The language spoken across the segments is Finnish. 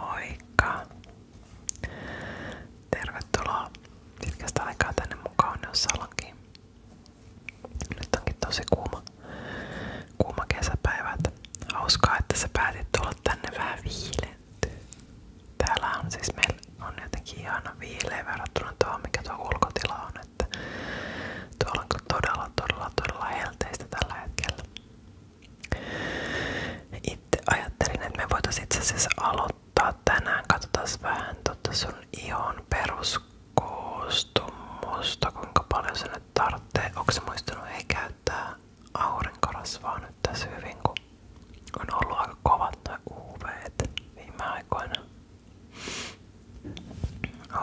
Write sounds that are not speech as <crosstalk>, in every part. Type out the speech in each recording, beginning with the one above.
Moikka! Tervetuloa pitkästä aikaa tänne mukaan salonkiin. Nyt onkin tosi kuuma, kuuma kesäpäivä. Hauskaa, että sä päätit tulla tänne vähän viilentyä. Täällä on siis meillä on jotenkin ihana viileä verrattuna tuohon, mikä tuo ulkotila on. Että tuolla on todella, todella, todella helteistä tällä hetkellä. Itse ajattelin, että me voitaisiin itse asiassa aloittaa tänään. Katsotaan vähän totta sun ihon peruskoostumusta, kuinka paljon se nyt tarvitsee. Onko se muistanut ei käyttää aurinkorasvaa nyt tässä hyvin, kun on ollut aika kovat tai uv viime aikoina.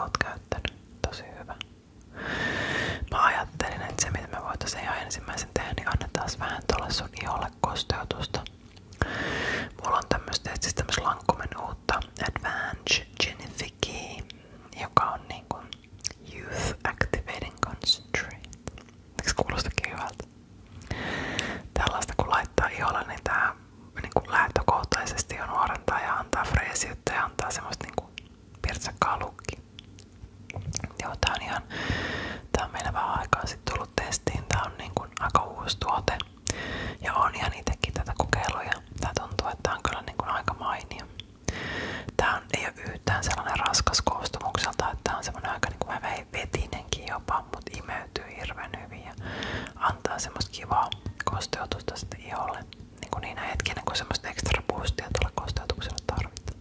Oot käyttänyt. Tosi hyvä. Mä ajattelin, että se mitä me voitaisiin ihan ensimmäisen tehdä, niin annetaan vähän tuolle sun iholle kosteutusta. Mulla on tämmöstä, siis tämmöstä Lancomeen uutta Advanced Genifique, joka on niinku Youth Activating Concentrate. Eikö kuulostakin hyvältä? Tällaista kun laittaa iholle, niin tää niinku lähtökohtaisesti on nuorentaa ja antaa freesiyttä ja antaa semmoista niinku pirtsakkaa lukki. Joo, tää on ihan, on sitten tullut testiin, tää on niin aika uusi tuote ja on ihan itsekin tätä kokeillut on kyllä niin kuin aika mainio. Tää ei ole yhtään sellainen raskas koostumukselta, että on semmonen aika niin kuin vetinenkin jopa, mut imeytyy hirveän hyvin ja antaa semmoista kivaa kosteutusta sitten iholle niin niinä hetkinä, kun semmoista ekstra boostia tuolla kosteutuksella tarvitaan.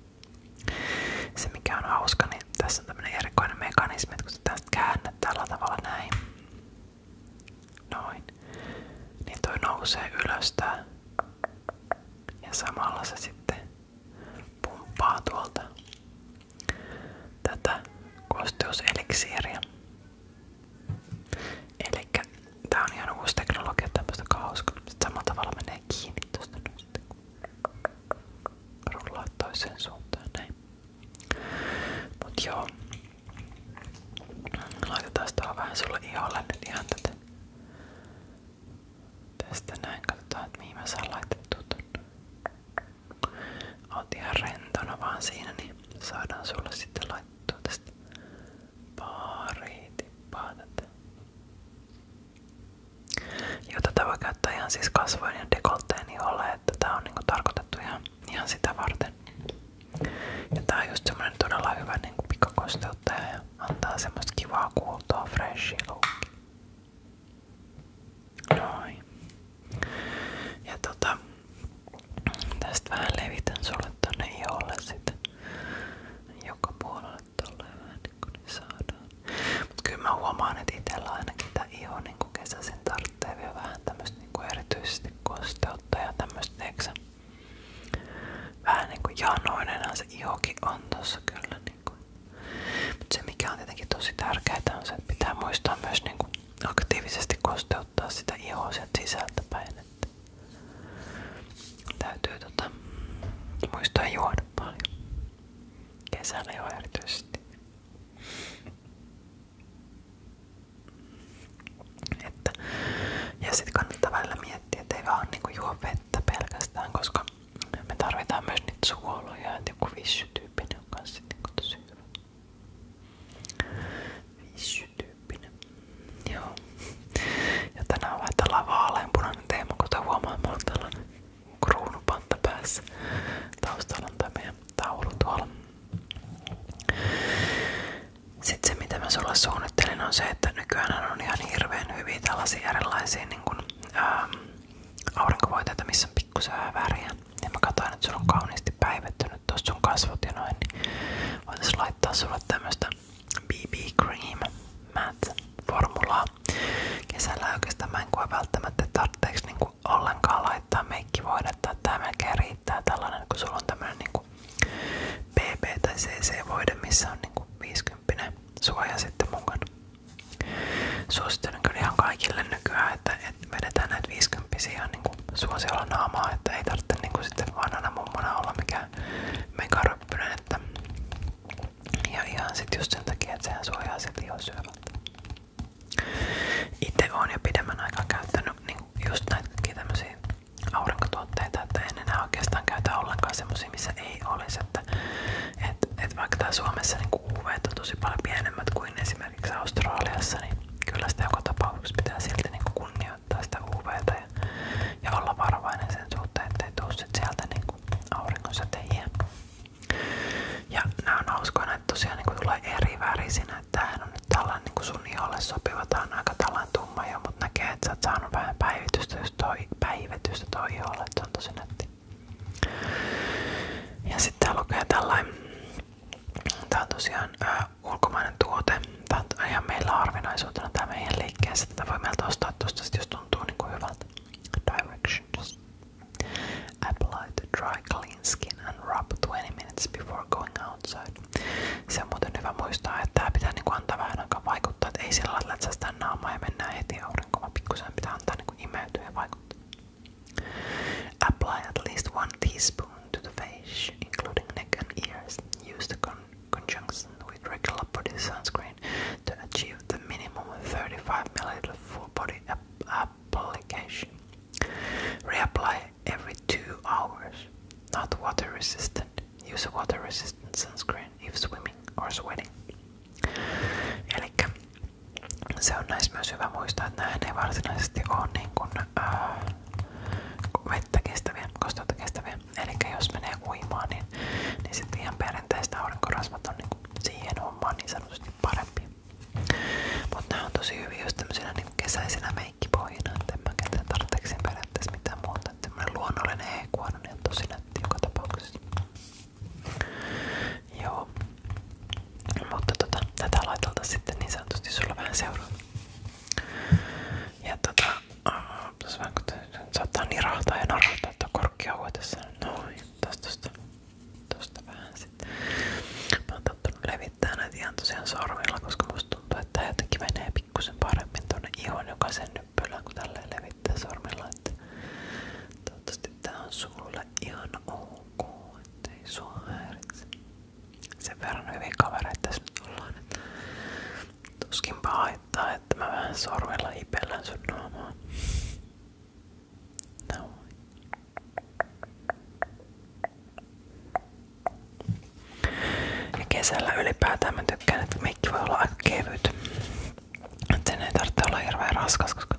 Se mikä on hauska, niin tässä on tämmönen erikoinen mekanismi, että kun sitä käännät tällä tavalla näin, noin, niin toi nousee ylös tää. Ja samalla se sitten pumppaa tuolta tätä kosteuseliksiiriä. Eli Elikkä tää on ihan uusi teknologia, tämmöstä hauska. Sitten samalla tavalla menee kiinni tosta nyt rullaa toiseen suuntaan näin. Mut joo. Laitetaan tuohon vähän sulle iholle nyt ihan tätä. Tästä näin katsotaan, että mihin mä saan laitettua ton. Oot ihan rentona vaan siinä, niin saadaan sulle sitten laittua tästä pari tippaa tätä. Joo, tätä siis ja dekolteen iholle, niin että on niinku tarkoitettu ihan, ihan varten. Ja tää on just semmonen todella niinku ja antaa semmoista kivaa kuultoa, freshi lookia. Noin. Ja tota, tästä vähän levitän sulle tonne sitten joka puolelle tolleen vähän niin Mut kyllä mä huomaan, että ainakin tää iho niin kesäisin tarvitsee vielä vähän tämmöstä niin kosteutta ja tämmöstä eksä. Vähän niinku janoinenhan se ihokin on tossa kyllä niinku. Mut se mikä tietenkin tosi tärkeää on se, että pitää muistaa myös niinku aktiivisesti kosteutta toteuttaa sitä ihoa sieltä sisältä päin. Että täytyy tota, muistaa juoda paljon. Kesällä jo erityisesti. Että, ja sitten kannattaa välillä miettiä, ettei vaan niinku juo pelkästään, koska me tarvitaan myös niitä suoloja, että joku vissytyyppinen on kanssa niinku Joo. Ja tänään vaihtellaan vaaleanpunainen teema, kuten huomaa, mulla on tällä kruunupanta päässä. Taustalla tämä meidän taulu tuolla. Sitten se mitä mä on se, että on ihan hirveän hyviä tällaisia erilaisia niin kuin, ää, ähm, aurinkovoiteita, missä on pikkusen väriä. Ja katsoin, että sulla on kauniisti päivetty nyt tuossa sun kasvot ja noin, niin voitais laittaa sulle tämmöstä BB Cream Matte formulaa. Kesällä oikeastaan mä en koe välttämättä tarpeeksi niinku ollenkaan laittaa meikkivoidetta, että tää melkein riittää tällainen, kun sulla on tämmönen niinku BB tai CC-voide, missä on niinku 50 suoja sitten mukana. Suosittelen kyllä ihan kaikille nykyään, että, että vedetään näitä 50 ihan niin niinku suosiolla naamaa, että ei tarvitse niinku sitten vanhana mummona olla mikään megaröppynen, että ja ihan sit just sen takia, että sehän suojaa silti jo syövältä. Itse olen jo pidemmän aikaa käyttänyt niinku just näitäkin tämmöisiä aurinkotuotteita, että en enää oikeastaan käytä ollenkaan semmosia, missä ei olisi, että et, et vaikka tää Suomessa niinku UV on tosi paljon pienemmät kuin esimerkiksi Australiassa, niin kyllä sitä joka tapauksessa pitää silti niinku kunnioittaa käyttää sitä UVtä ja, ja olla varovainen sen suhteen, ettei tuu sit sieltä niinku auringonsäteiä. Ja nää on hauskoja, että tosiaan niinku tulee eri värisinä. Että tämähän on nyt tällainen niinku sun iholle sopiva, tämä, on aika tällainen tumma jo, mutta näkee, että sä oot saanut vähän päivitystä, just toi, päivitystä toi iholle, se on tosi nätti. Ja sitten tää lukee tällainen, tää on tosiaan ulkomainen tuote. Tämä on ihan meillä harvinaisuutena tämä meidän liikkeessä. Tätä voi meiltä ostaa tuosta, jos tuntuu niin kuin hyvältä. Directions. Apply to dry clean skin and rub 20 minutes before going outside. Se on muuten hyvä muistaa, että tämä pitää niinku antaa vähän aikaa vaikuttaa, että ei sillä lailla, että sitä naamaa ja mennään heti aurinkoon, vaan pikkusen pitää antaa niinku imeytyä ja vaikuttaa. Apply at least one teaspoon to the face, including neck and ears, use the conjunction with regular body sunscreen to achieve the minimum 35 milliliter full body application. Reapply every 2 hours. Not water resistant. Use a water resistant sunscreen if swimming or sweating. Elikkä se on näissä myös hyvä muistaa, että nämä ei varsinaisesti vettä kestäviä, kosteutta kestäviä. Eli jos menee uimaan, niin, niin sitten ihan perinteiset aurinkorasvat on niin siihen hommaan niin parempi. Mutta nämä on tosi hyviä niin kesäisenä meikkipohjina, että en mä tarpeeksi periaatteessa mitään muuta. Että semmoinen luonnollinen hekuoinen niin on tosi nätti joka Joo. Mutta tota, tätä laitelta sitten niin sanotusti sulla ja tota, uh, tässä vähän saattaa nirahtaa ja narahtaa tuo korkkiauhe tässä. Noin, tästä tosta, tosta vähän sitten. Mä oon tottunut levittää näitä ihan tosiaan sormilla, koska musta tuntuu, että tää jotenkin menee pikkusen paremmin tuonne ihon jokaisen nyppylään, kun tälleen levittää sormilla. Että toivottavasti tää on sulle ihan ok, ettei sua häiritse sen verran hyviä kavereita tässä nyt ollaan. Että tuskinpa haittaa, että mä vähän sorvella hipellän sun naamaa. No. kesällä ylipäätään mä tykkään, että meikki voi olla aika kevyt. Et sen ei tarvitse olla hirveän raskas, koska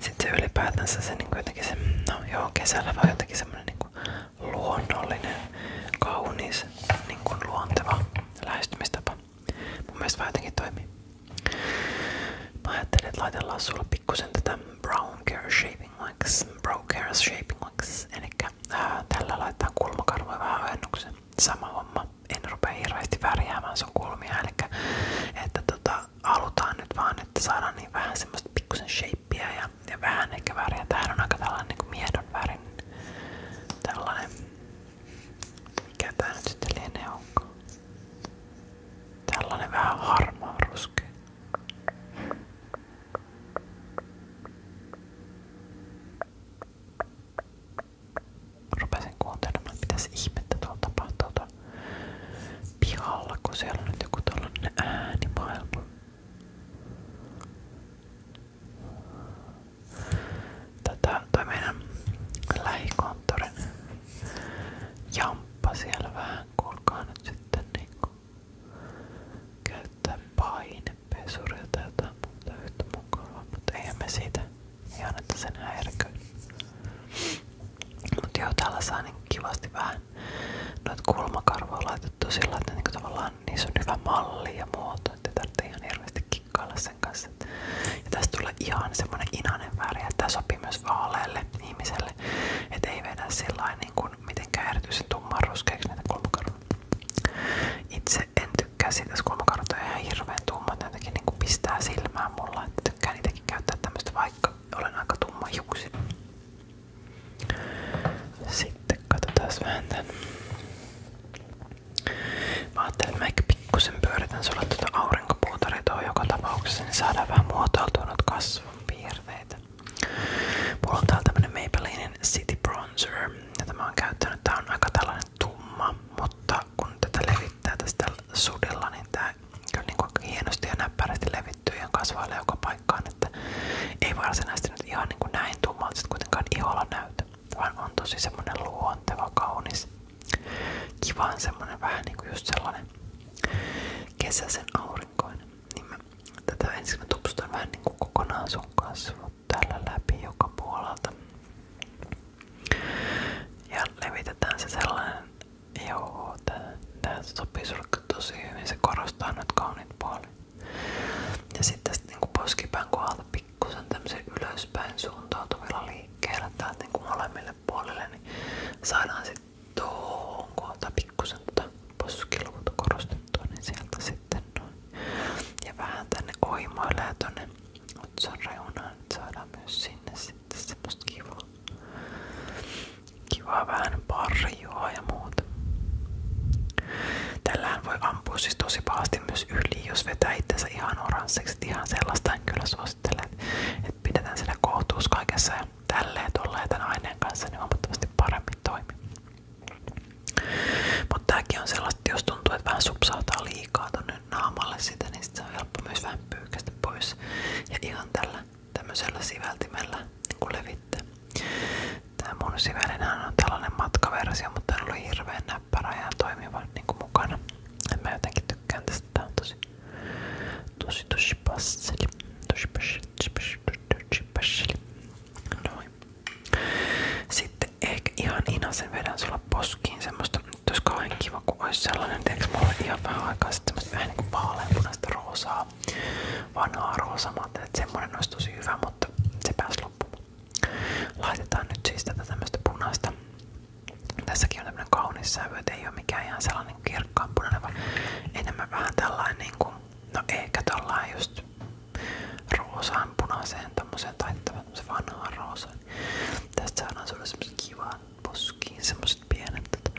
sitten ylipäätänsä se niin jotenkin se, no joo, kesällä vaan jotenkin semmonen niin luonnollinen, kaunis, niin kuin luonteva lähestymistapa. Mun mielestä vähän jotenkin toimii. Mä ajattelin, että laitellaan sulle pikkusen tätä brown care shaping wax, Brown care shaping wax, elikkä ää, tällä laittaa kulmakarvoja vähän ojennuksen. Sama homma. En rupea hirveästi värjäämään sun kulmia, elikkä että tota, halutaan nyt vaan, että saadaan niin vähän semmoista pikkusen shapeia ja, ja vähän ehkä väriä. Tämähän on aika tällainen niin miedon värin tällainen. Mikä tää nyt sitten lienee onkaan? Tällainen vähän harmaa ruskea. Rupesin kuuntelemaan, mitäs ihmettä tuolla tapahtuu pihalla, kun siellä on nyt joku tällainen äänimaailma. Tätä toi meidän lähikonttorin jamppa siellä vähän kulkaa nyt sitten niinku käyttää painepesuria tai jotain muuta yhtä mukavaa, mutta eihän me siitä ihan että sen häiriköin. Mutta joo, täällä saa niin kivasti vähän noita kulmakarvoja laitettu sillä, että niin tavallaan niissä on hyvä malli ja muoto, että tarvitsee ihan hirveästi kikkailla sen kanssa. Ja tästä tulee ihan semmonen inanen väri, että tämä sopii myös vaaleelle ihmiselle, että ei vedä sillä niin kuin mitenkään erityisen tumman ruskeaksi näitä kulmakarvoja. Itse en tykkää siitä, jos kulmakarvat on ihan hirveän tummat, ne jotenkin niin pistää silmään mulla, että tykkään niitäkin käyttää tämmöistä, vaikka olen aika tumma hiuksinen. Sitten katsotaan vähän tän. Mä ajattelin, että mä pikkusen pyöritän sulle tuota aurinkopuutaritoa joka tapauksessa, niin saadaan vähän muotoiltua noita kasvun piirteitä. Mulla on täällä tämmönen Maybellinen City Bronzer, jota mä oon käyttänyt. Tää on aika tällainen tumma, mutta kun tätä levittää tästä sudella, niin tää kyllä, kyllä niin kuin hienosti ja näppärästi levittyy ja kasvailee joka paikkaan. Että ei varsinaisesti nyt ihan niin kuin näin tummalta kuitenkaan iholla näytä, vaan on tosi semmonen luonteva, kaunis, kivan semmonen vähän niin kuin just sellainen kesäisen aurinkoinen. Niin mä, tätä ensin mä tupsutan vähän niin kuin kokonaan sun kasvot täällä läpi joka puolelta. Ja levitetään se sellainen Joo, tää, tää sopii sulle tosi se korostaa nyt kauniit Ja sitten sit niinku poskipään kohdalta ylöspäin suuntautuvilla liikkeillä täältä niinku molemmille puolille, niin saadaan sitten tuohon kohdalta pikkusen tota niin sieltä sitten Ja vähän tänne oimoille ja tonne otsan reunaan, että niin saadaan myös sinne sitten semmoista kivaa Kivaa vähän parjua ja muuta. Tällähän voi ampua siis myös yli, ihan oranssiksi. Ihan sellaista en kyllä suosittele. Että pidetään sillä kohtuus kaikessa ja tälleen niin paremmin toimii. Mutta tääkin on sellaista, että tuntuu, että vähän liikaa tonne naamalle sitä, niin sit se on pois. Ja ihan tällä tämmöisellä siveltimellä niin levitte. Tämä mun sivelinhän on tällainen matkaversio, mutta on ollut hirveän näppärä ja toimiva niin kuin mukana. En mä jotenkin tykkään tästä. Tää on tosi tosi tosi passeli. Tosi passeli, tosi tosi passeli. Noin. Sitten ehkä ihan inasen vedän sulla poskiin semmoista, että olisi kiva, kun olisi sellainen, teekö mulle ihan vähän aikaa sitten semmoista vähän niin vaaleanpunaista roosaa, vanhaa roosaa. Mä että semmonen olisi tosi hyvä, mutta se pääsi loppuun. Laitetaan nyt siis tätä tämmöistä punaista. Tässäkin on tämmönen kaunis sävy, et ei ole mikään ihan sellainen kirkkaanpunainen, vaan enemmän vähän tällainen niinku, no ehkä tällainen just roosaan punaiseen tommoseen tai tämmöisen vanhaan roosaan. Tästä saadaan sulle semmosen kivan poskiin, pienet.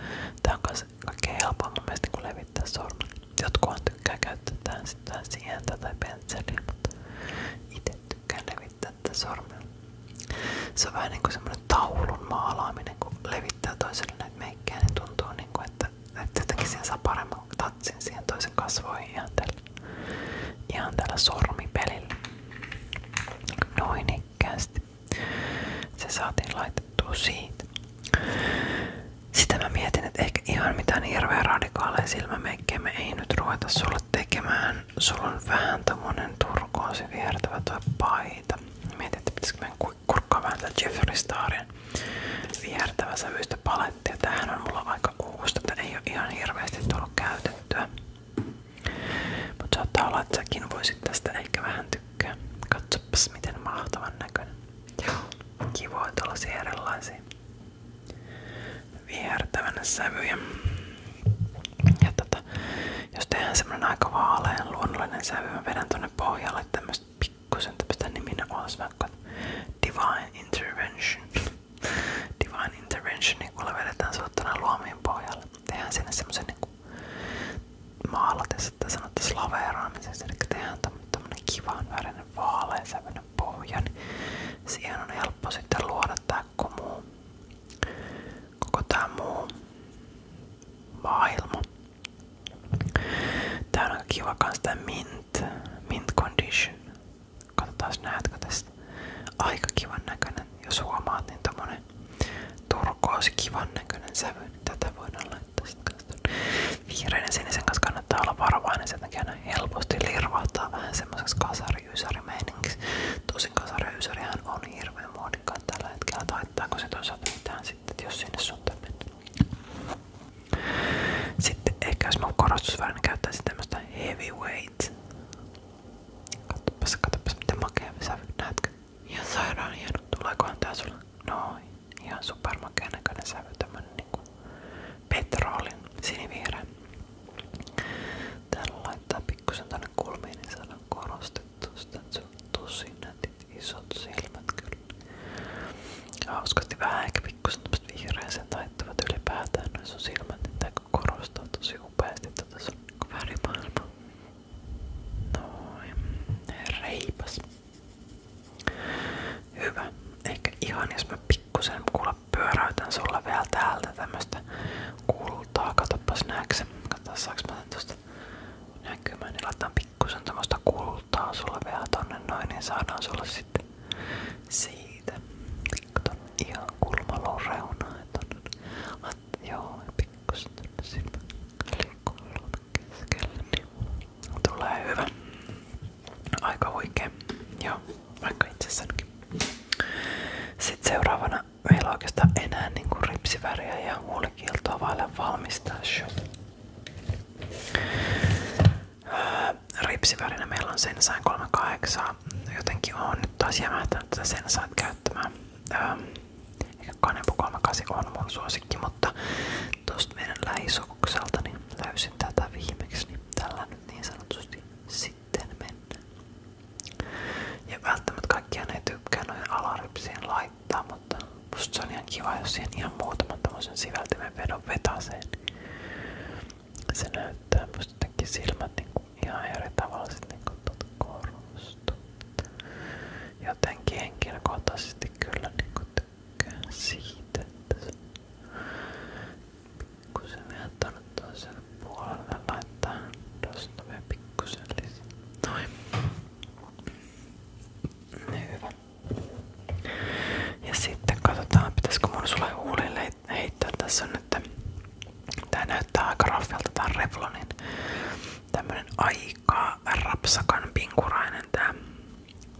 Tää on kans kaikkein helpoa mun mielestä kun niinku levittää sormen. Jotkuhan tykkää käyttää tähän Se on vähän niinku taulun maalaaminen, levittää toiselle näitä meikkejä, niin tuntuu niinku, paremman tatsin siihen toisen kasvoihin tällä, ihan tällä sormipelillä. Noin, niin sinnikkäästi. Se saatiin laitettua siitä. Sitä mä mietin, että ehkä ihan mitään niin hirveä radikaaleja silmämeikkejä me ei nyt ruveta sulle tekemään. Sulla on vähän tommonen turkoosi viertävä toi paita. Mietin, että pitäisikö meidän kurkkaa vähän tätä Jeffrey Starin viertävä sävyistä palettia. Tämähän on mulla aika uusi, että ei ole ihan hirveästi tullut käytettyä. Mutta saattaa olla, että säkin voisit tästä ehkä vähän tykkää. Katsopas näköinen. Joo, kivoa tällaisia Ja tota, jos tehdään semmonen luonnollinen sävy, mä vedän tonne pohjalle tämmöstä pikkusen tämmöstä niminä olis vaikka Divine Intervention. <laughs> Divine Intervention, niin kuule vedetään sulle tonne luomiin pohjalle. Tehdään sinne semmosen niin Niinku maalatessa, että sanotte slaveeraamisessa, eli tehdään tämmönen kivan värinen vaaleansävyinen pohja, niin siihen on helppo sitten koko muu, koko on aika kiva kans mint, mint condition. Katsotaan näetkö tästä. Aika kivan näköinen. Jos huomaat, niin sellainen turkoosi kivan näköinen sävy, niin tätä voidaan laittaa sitten Vihreän ja sinisen kanssa kannattaa olla varovainen, sen takia ne helposti lirvahtaa vähän semmoiseksi kasari-ysäri-meiningiksi. Tosin kasari-ysärihän on hirveän muodikkaan tällä hetkellä, taittaako se toisaalta mitään sitten, jos sinne suuntaan mennään. Sitten ehkä jos mä korostusvärinä käyttäisin tämmöstä heavyweight Katsopas, katsopas miten makea sävy, näetkö? Ihan sairaan hieno, tuleekohan tää sulla? No, ihan supermakea näköinen sävy, tämmönen niinku petroolin sinivihreä. Täällä laittaa pikkusen niin korostettu sitä, että tosi nätit isot silmät kyllä. Hauskasti vähän ehkä pikkusen tämmöset vihreäseen taittavat ylipäätään noin sun silmät, että korostaa tosi upeasti tätä sun värimaailmaa. Noin. Reipas. Hyvä. Ehkä ihan jos mä pikkusen kuule pyöräytän sulle vielä täältä tämmöstä kultaa. Katsopas näeksi. Katsotaan saaks mä tän tosta näkymään. Niin laitetaan pikkusen tämmöstä kultaa sulle vielä tonne noin. Niin saadaan sulle sitten siitä. Kato ihan kulmalon reunaa. Laitetaan Joo, pikkusen tänne silmän kolme keskelle, niin Aika huikea. Joo, vaikka itsessänikin. Sitten seuraavana meillä on niinku ripsiväriä ja huulikieltoa vaille valmistaa show. meillä on sen 38 jotenkin on nyt taas jämähtänyt tätä sen saat käyttämään. Ähm, ehkä Kanepo 38 on mun suosikki, mutta tosta meidän lähisokukselta niin löysin tätä viimeksi, niin tällä nyt niin sanotusti sitten mennään. Ja välttämättä kaikkia ne tykkää noin alarypsiin laittaa, mutta musta se on ihan kiva, jos siihen ihan muutaman tommosen siveltimen vedon vetaseen. Se näyttää musta jotenkin silmät niinku ihan eri tavalla sit niinku tuota korostu. Jotenkin henkilökohtaisesti kyllä niinku tykkään siitä, että se pikkusen vähän tuonne toiselle puolelle laittaa tosta vielä pikkusen lisää. Noin. Hyvä. Ja sitten katsotaan, pitäisikö mun sulle huulille heittää tässä on, että tämä näyttää aika raffilta, tää Revlonin niin tämmönen aika rapsakan pinkurainen tämä,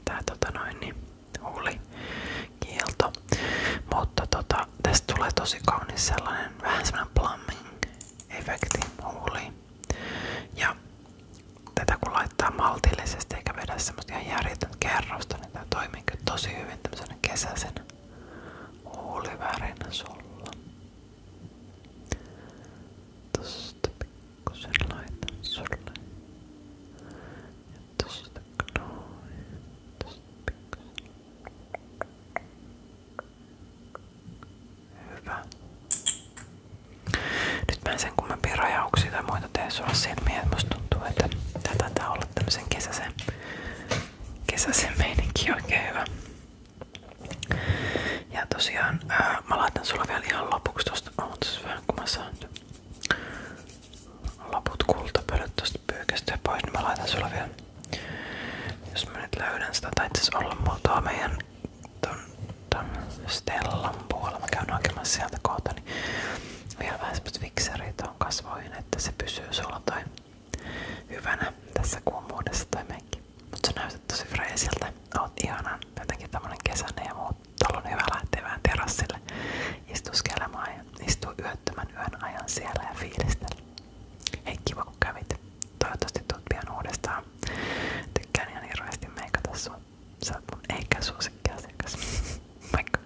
tää tota noin niin, huuli kielto. Mutta tota, tästä tulee tosi kaunis sellainen vähän semmonen plumbing-efekti huuliin. Ja tätä kun laittaa maltillisesti eikä vedä semmoista ihan järjetöntä kerrosta, niin tää toimii tosi hyvin tämmöisenä kesäisenä huulivärinä sulla. Tosta pikkusen laitan sulle. Ja tosta noin. Tosta pikkusen. Hyvä. Nyt mä en sen kummempia rajauksia tai muita tee sulla silmiä, että musta tuntuu, että tätä tää olla tämmösen kesäisen kesäisen meininki oikein hyvä. Ja tosiaan ää, mä laitan sulla vielä ihan lopuksi tosta, ootas oh, siis vähän kun mä saan laput kultapölyt tosta pyykästyä pois, niin mä laitan sulla vielä jos mä nyt löydän sitä, tai itse olla mulla meidän ton, ton Stellan puolella, mä käyn hakemassa sieltä kohta, niin vielä vähän semmoset vikseriä tuohon kasvoihin, että se pysyy sulla tai hyvänä tässä kuun muodessa toi menkki. Mut sä näytät tosi freesiltä. Oot ihanan jotenkin tämmönen kesäinen ja muut. Täällä on hyvä lähteä vähän terassille istuskelemaan ja istua yöttömän yön ajan siellä ja fiilistellä. Hei kiva kun kävit. Toivottavasti tuut pian uudestaan. Tykkään ihan hirveästi meikata sua. Sä oot mun eikä suosikkiasiakas. <laughs> Moikka!